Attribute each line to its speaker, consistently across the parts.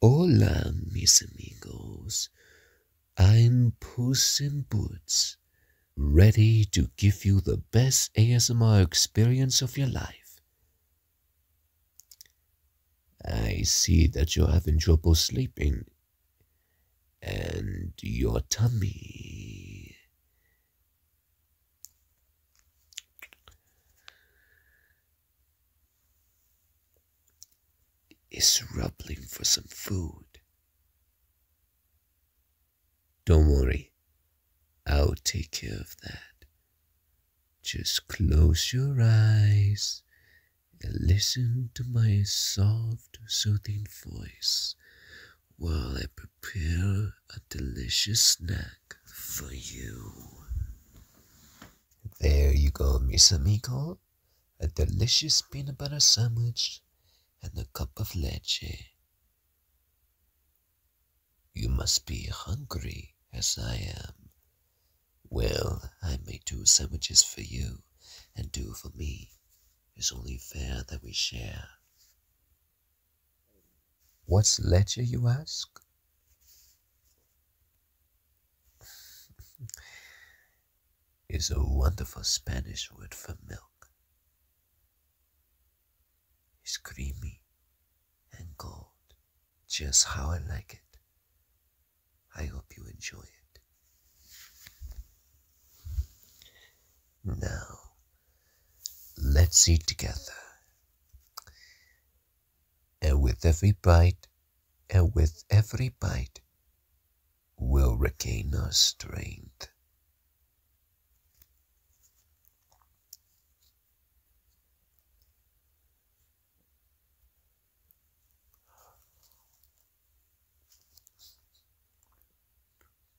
Speaker 1: Hola, mis amigos. I'm Puss in Boots, ready to give you the best ASMR experience of your life. I see that you're having trouble sleeping, and your tummy is rumbling for some food. Don't worry, I'll take care of that. Just close your eyes and listen to my soft, soothing voice while I prepare a delicious snack for you. There you go, Miss Amigo. A delicious peanut butter sandwich and a cup of leche. You must be hungry as I am. Well, I made two sandwiches for you and two for me. It's only fair that we share. What's letter, you ask? is a wonderful Spanish word for milk. It's creamy and gold, just how I like it. I hope you enjoy it. Now, let's eat together and with every bite, and with every bite, we'll regain our strength.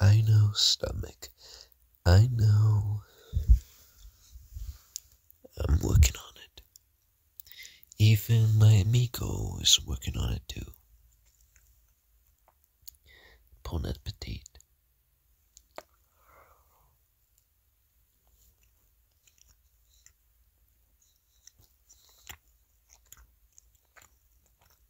Speaker 1: I know stomach. I know I'm working on it. Even my amigo is working on it too. Bon appetit.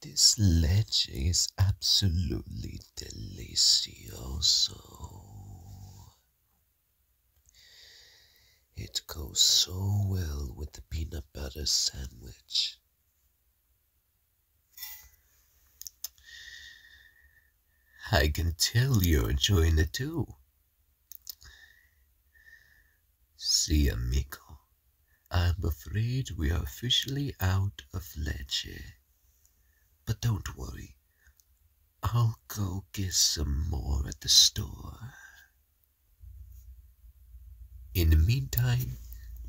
Speaker 1: This leche is absolutely delicious. It goes so well with the peanut butter sandwich. I can tell you're enjoying it too. See, amigo, I'm afraid we are officially out of leche. But don't worry, I'll go get some more at the store. In the meantime,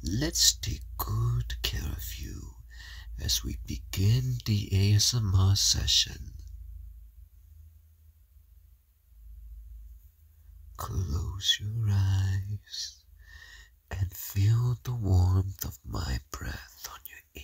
Speaker 1: let's take good care of you as we begin the ASMR session. Close your eyes and feel the warmth of my breath on your ear.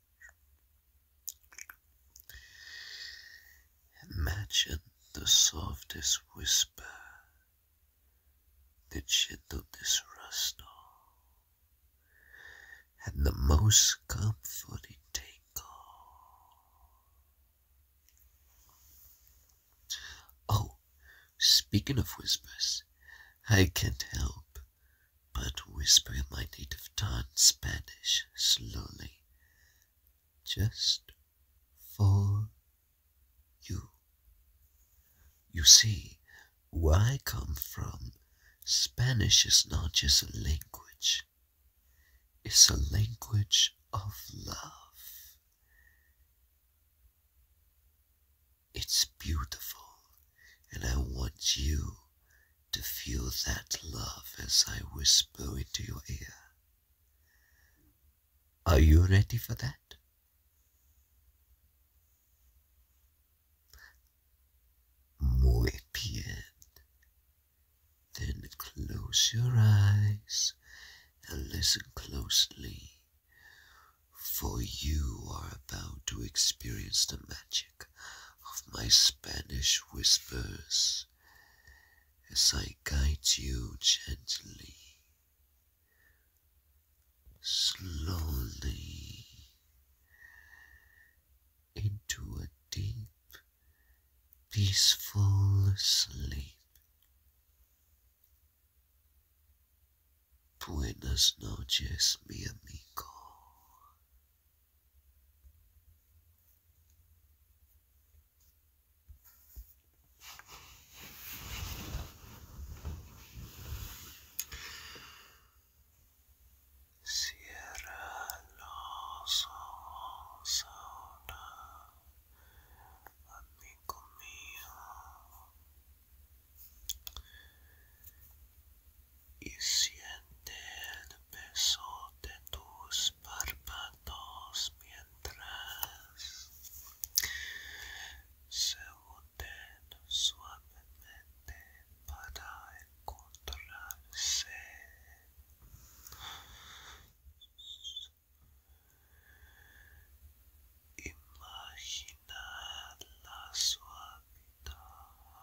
Speaker 1: Imagine the softest whisper, the gentlest rustle, and the most comforting tingle. Oh, speaking of whispers, I can't help but whisper in my native tongue, Spanish, slowly, just for you. You see, where I come from, Spanish is not just a language, it's a language of love. It's beautiful, and I want you to feel that love as I whisper into your ear. Are you ready for that? Muy bien. Then close your eyes and listen closely, for you are about to experience the magic of my Spanish whispers as I guide you gently, slowly into a deep, peaceful sleep. Buenas noches, mi amigo.
Speaker 2: Cierra los ojos ahora, amigo mío, y siente el peso de tus párpados mientras se hunden suavemente para encontrarse. Imagina la suavidad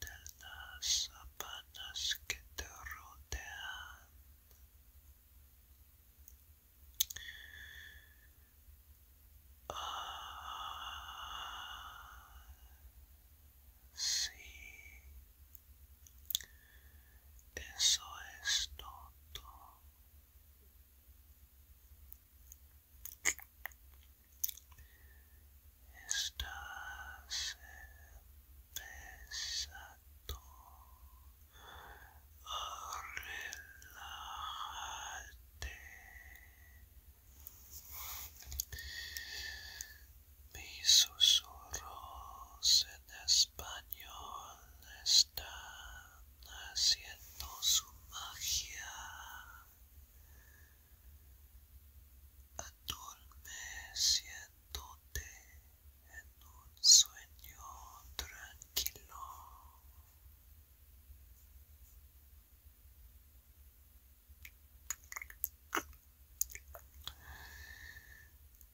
Speaker 2: de las sábanas que te rodean. Ah, sí, eso es todo estás empezando a relajarte. Mis susurros en español están haciendo su magia adormeciéndote en un sueño tranquilo.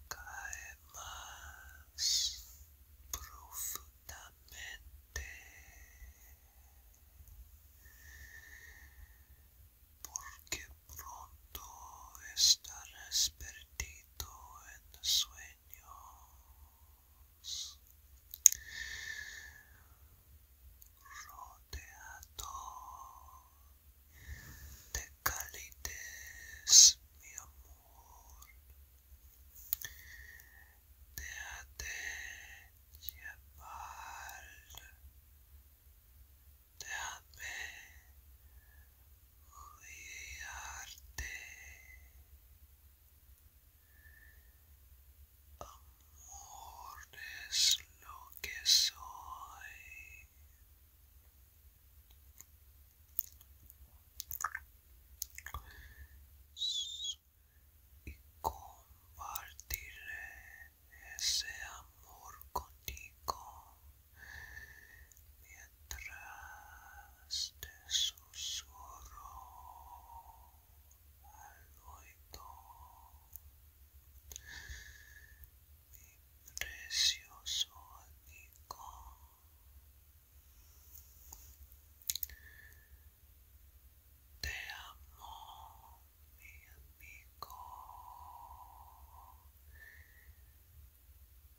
Speaker 2: Cae más profundamente porque pronto estarás perdido en sueños, rodeado de calidez, mi amor. Déjate Jabal, déjame guiarte. Amor es lo que soy. y compartiré ese amor contigo mientras te susurro al oído mi precioso amigo te amo mi amigo.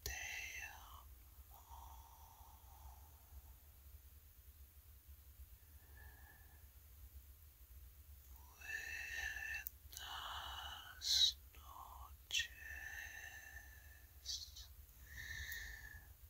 Speaker 2: Te amo. Buenas noches.